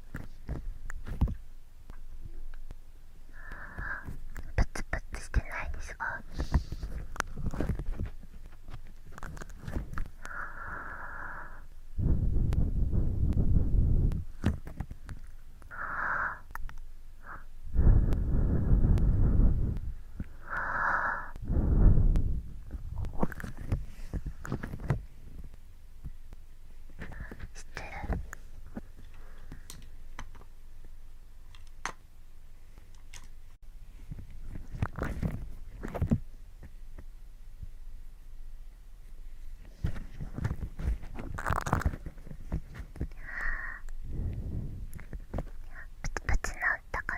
プツプツしてないですかあ知ってるプチプチなったから。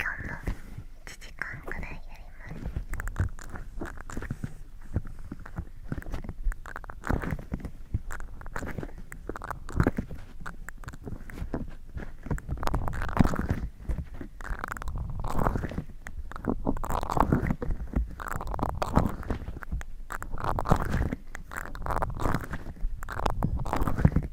今日も1時間くらいやります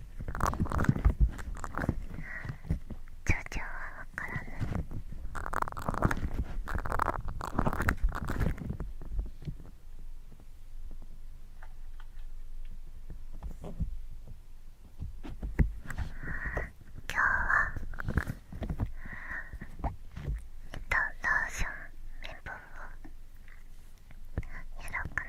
状々はわからない。今日はえっとローション綿棒をやろうかな。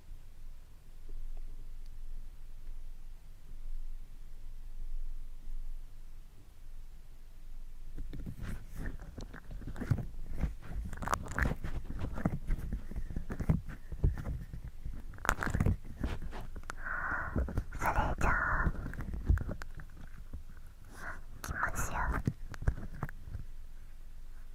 それじゃあきますよ。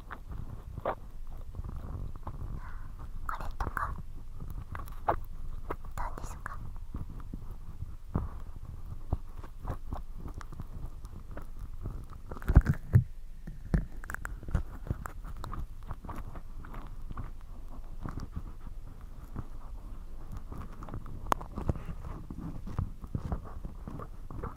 れとかどうですか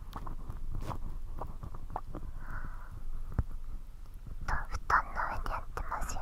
布団の上でやってますよ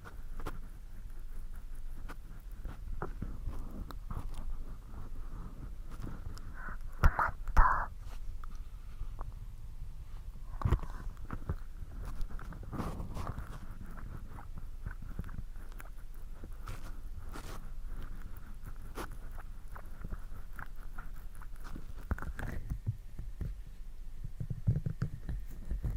った。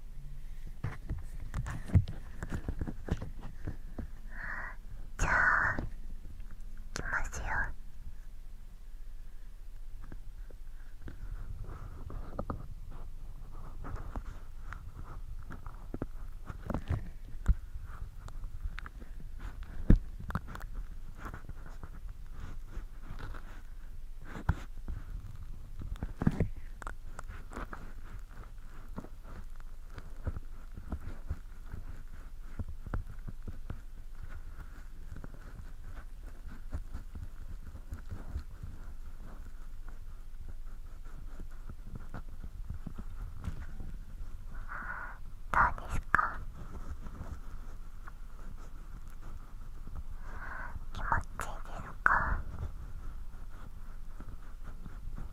じゃあいきますよ「どうですか気持ちいいですか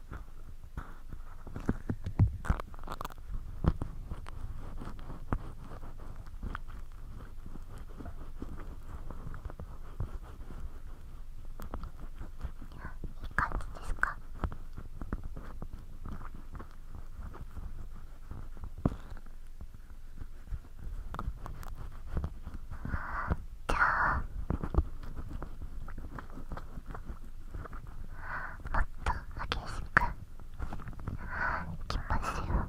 いい感じですかじゃあもっと激しくいきますよ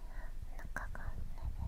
お腹が鳴るお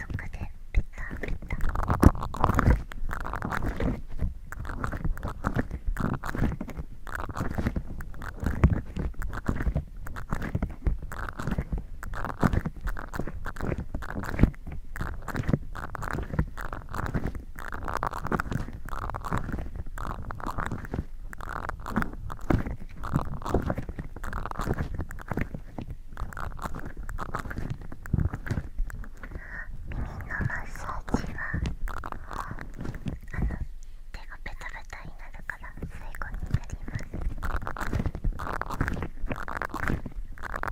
速でピタピタ。耳のマッサージはあの手がベタベタになるから最後になります。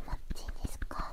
気持ちいいですか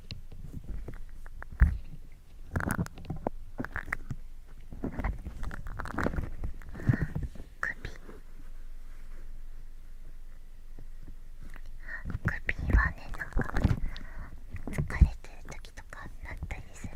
首首はねなんか疲れてる時とかなったりする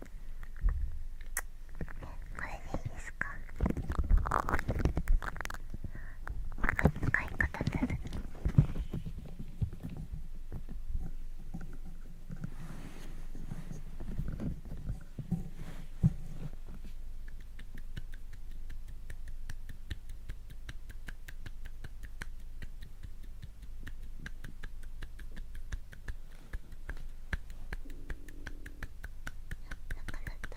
これでいいですか使い方だねよく分かんなかった。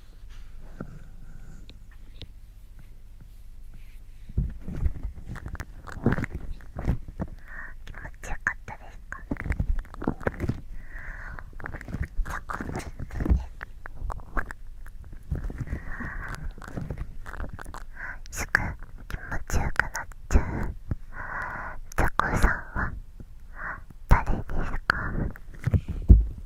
ちよかったですすすぐ気持ちよくなっちゃうじゃこさんは誰ですか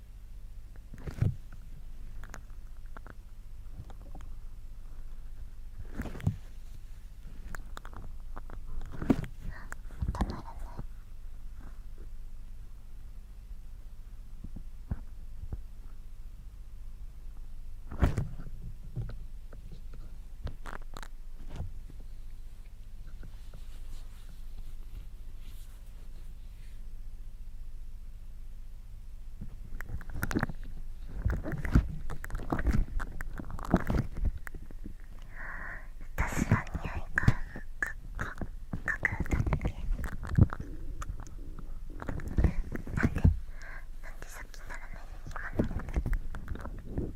たまらな私は匂いかかかかくだけなんでなんでさっきならないのにな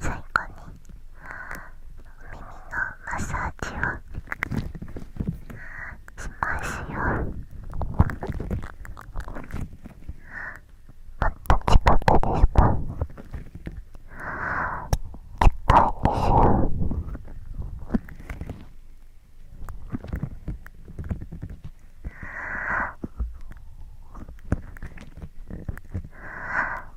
じゃあ最後に耳のマッサージをしますよもっと近くですか近いですよ耳のマッサージを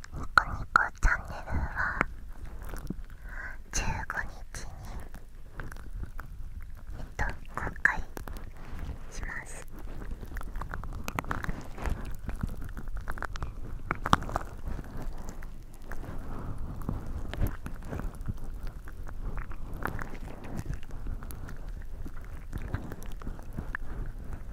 ニコニコチャンネルは15日にえっと公開します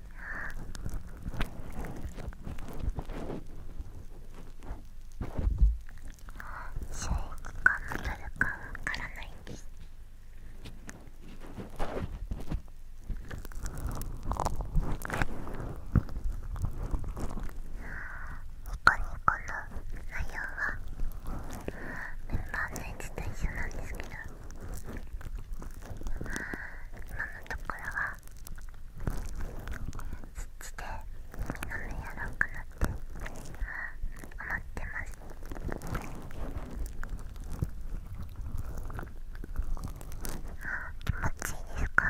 収ニコニコの内容はメンバーのやつと一緒なんですけど今のところは土で実の目やろうかなって思ってますあ気持ちいいですかあ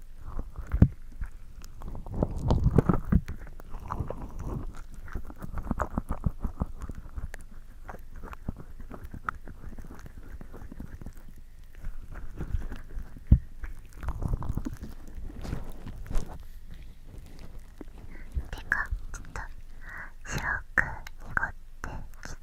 手がちょっと白く濁ってきた。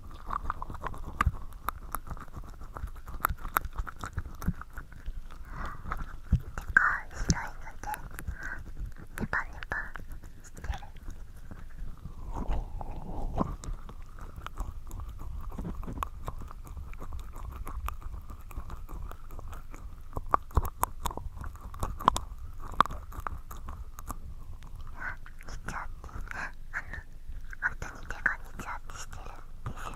白いのでネバネバしてる。あの本当に手がニチャってしてるんですよ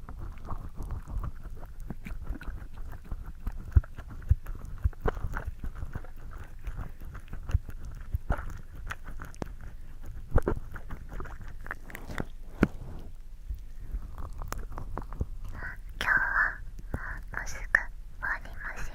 今日はもうすぐ終わりますよ。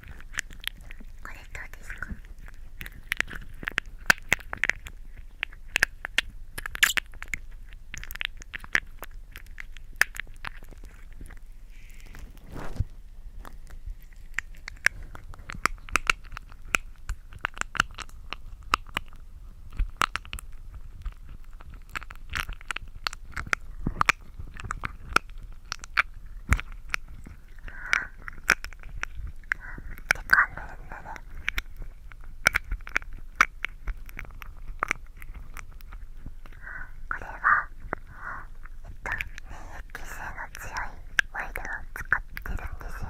これどうですかってるんですよ。これは、えっと、免疫性の強いオイルを使ってるんですよ。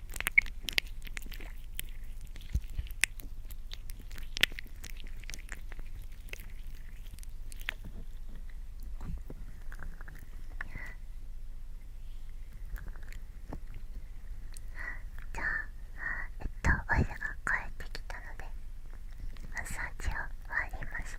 じゃあえっとおいらが帰ってきたのでマッサージを終わります。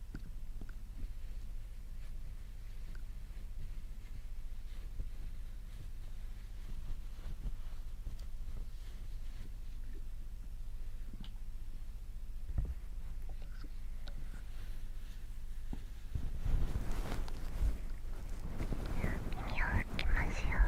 耳を拭きますよ。耳を拭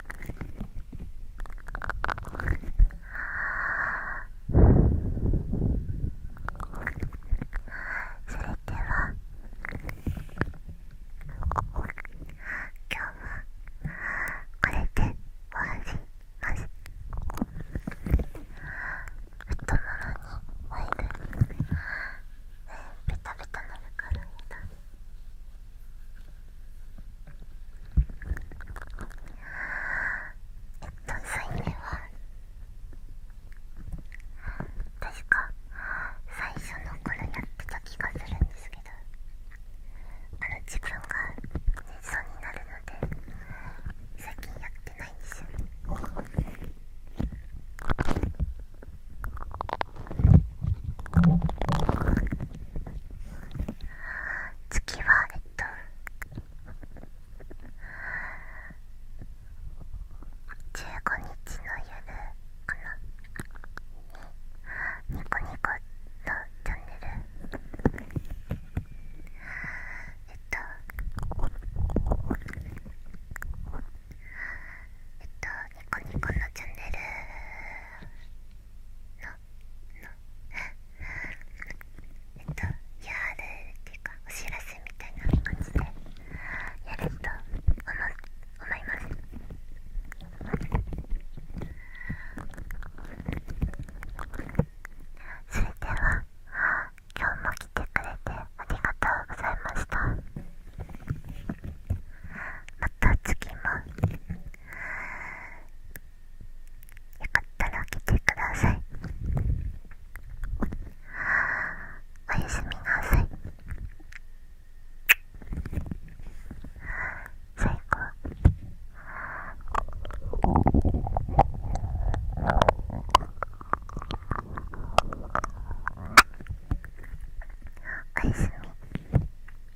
それでは今日はこれで終わります太ももにオイルベタベタなるからやえっと最年は確か最初の頃やってた気がするんですけどあの自分が寝そうになるので最近やってないんですよ次はえっと15日の夜かなにニコニコのチャンネルえっとえっとニコニコのチャンネルえっとやるっていうかお知らせみたいな感じでやると思思いますそれでは今日も来てくれてありがとうございましたまた次もよかったら来てくださいおやすみなさい最高おやすみ